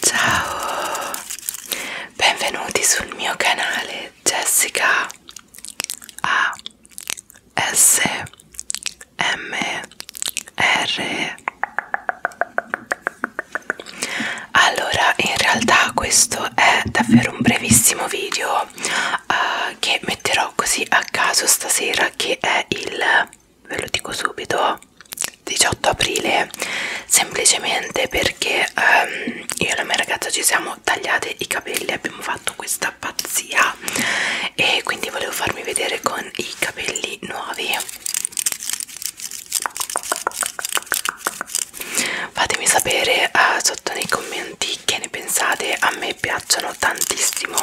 Ciao, benvenuti sul mio canale Jessica ASMR allora in realtà questo è davvero un brevissimo video uh, che metterò così a caso stasera che è il ve lo dico subito 18 aprile semplicemente perché um, io e la mia ragazza ci siamo tagliate i capelli abbiamo fatto questa pazzia e quindi volevo farmi vedere con i capelli nuovi fatemi sapere uh, sotto nei commenti che ne pensate a me piacciono tantissimo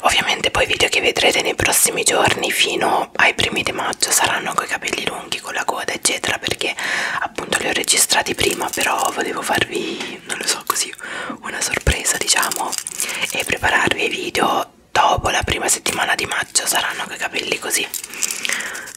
ovviamente poi i video che vedrete nei prossimi giorni fino ai primi di maggio saranno con i capelli lunghi con la coda eccetera perché appunto li ho registrati prima però volevo farvi non lo so così una sorpresa diciamo e prepararvi ai video dopo la prima settimana di maggio saranno con i capelli così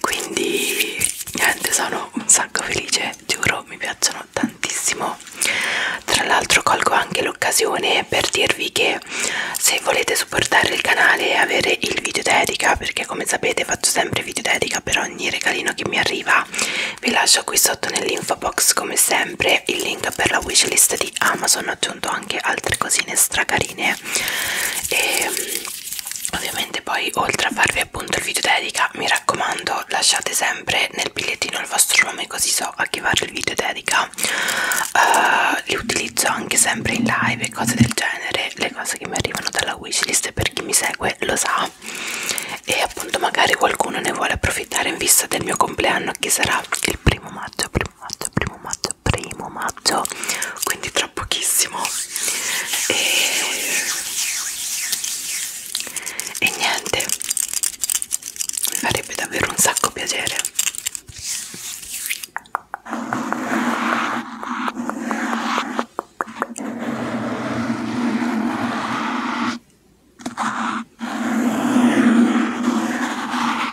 quindi niente sono un sacco felice giuro mi piacciono tantissimo tra l'altro colgo anche l'occasione per dirvi che se volete supportare il canale e avere il video dedica perché come sapete faccio sempre video dedica per ogni regalino che mi arriva vi lascio qui sotto nell'info box come sempre il link per la wishlist di Amazon ho aggiunto anche anche altre cosine stracarine e mm, ovviamente poi oltre a farvi appunto il video dedica mi raccomando lasciate sempre nel bigliettino il vostro nome così so a chi fare il video dedica uh, li utilizzo anche sempre in live e cose del genere le cose che mi arrivano dalla wishlist per chi mi segue lo sa e appunto magari qualcuno ne vuole approfittare in vista del mio compleanno che sarà il primo maggio primo maggio, primo maggio, primo maggio, quindi tra pochissimo. E, e niente, mi farebbe davvero un sacco piacere.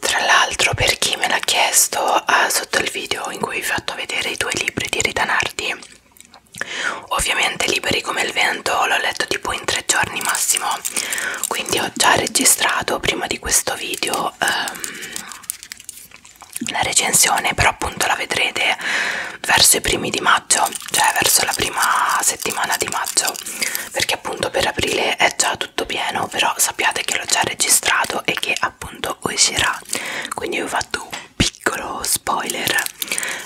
Tra l'altro per chi me l'ha chiesto ah, sotto il video in cui vi ho fatto vedere i due libri di Rita Nardi Ovviamente liberi come il vento l'ho letto tipo in tre giorni massimo Quindi ho già registrato prima di questo video um, la recensione Però appunto la vedrete verso i primi di maggio cioè verso la prima settimana di maggio perché appunto per aprile è già tutto pieno però sappiate che l'ho già registrato e che appunto uscirà quindi ho fatto un piccolo spoiler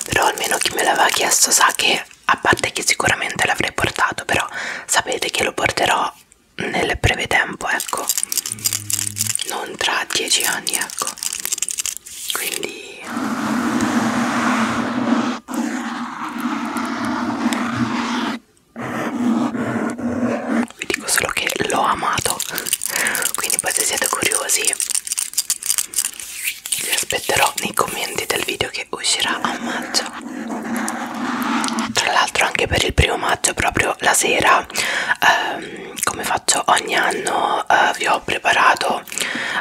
però almeno chi me l'aveva chiesto sa che a parte che sicuramente l'avrei portato però sapete che lo porterò nel breve tempo ecco non tra dieci anni ecco quindi vi dico solo che l'ho amato quindi poi se siete curiosi vi aspetterò nei commenti del video che uscirà a maggio tra l'altro anche per il primo maggio proprio la sera ehm, come faccio ogni anno eh, vi ho preparato girato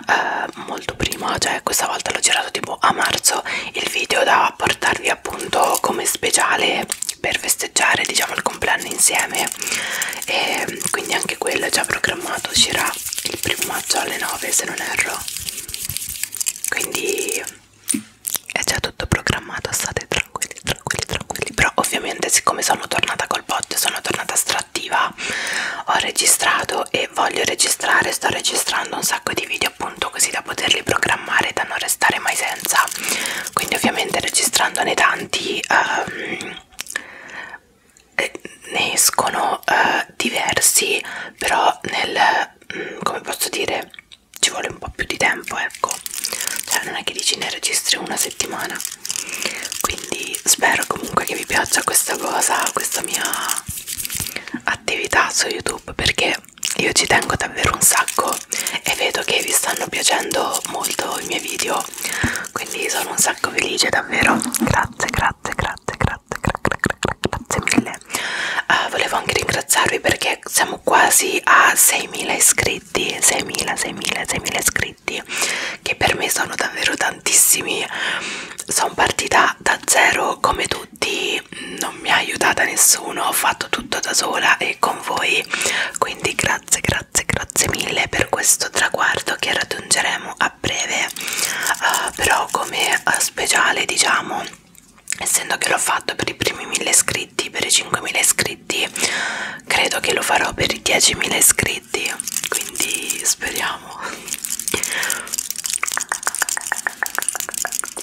eh, molto prima cioè questa volta l'ho girato tipo a marzo il video da portarvi appunto come speciale per festeggiare diciamo il compleanno insieme e quindi anche quello è già programmato uscirà il primo maggio alle 9 se non erro quindi è già tutto programmato state tranquilli tranquilli tranquilli però ovviamente siccome sono tornata col bot sono tornata strattiva fa ho registrato e voglio registrare sto registrando un sacco di video appunto così da poterli programmare da non restare mai senza quindi ovviamente registrandone tanti um, ne escono uh, diversi però nel um, come posso dire ci vuole un po' più di tempo ecco cioè non è che dici ne registri una settimana quindi spero comunque che vi piaccia questa cosa questa mia attività su youtube perché io ci tengo davvero un sacco e vedo che vi stanno piacendo molto i miei video quindi sono un sacco felice davvero grazie grazie grazie grazie grazie mille uh, volevo anche ringraziarvi perché siamo quasi a 6.000 iscritti 6.000 6.000 6.000 iscritti che per me sono davvero tantissimi sono partita da zero come tutti, non mi ha aiutata nessuno, ho fatto tutto da sola e con voi, quindi grazie, grazie, grazie mille per questo traguardo che raggiungeremo a breve, uh, però come eh, speciale diciamo, essendo che l'ho fatto per i primi 1000 iscritti, per i 5000 iscritti, credo che lo farò per i 10.000 iscritti, quindi speriamo amo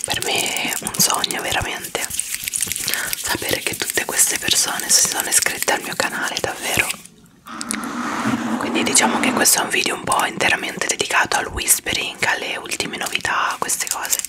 per me è un sogno veramente sapere che tutte queste persone si sono iscritte al mio canale davvero quindi diciamo che questo è un video un po' interamente dedicato al whispering alle ultime novità queste cose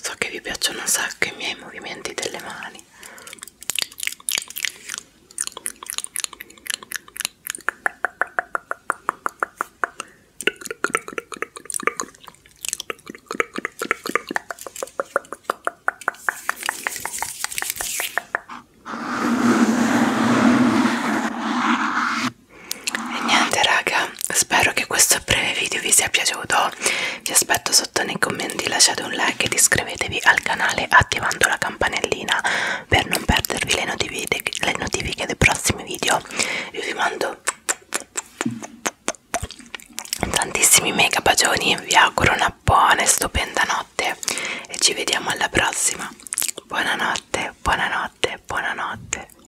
so che vi piacciono un sacco i miei movimenti delle mani e niente raga spero che questo breve video vi sia piaciuto vi aspetto sotto nei commenti lasciate un like ed iscrivetevi al canale attivando la campanellina per non perdervi le notifiche, le notifiche dei prossimi video io vi mando tantissimi mega bacioni vi auguro una buona e stupenda notte e ci vediamo alla prossima buonanotte buonanotte buonanotte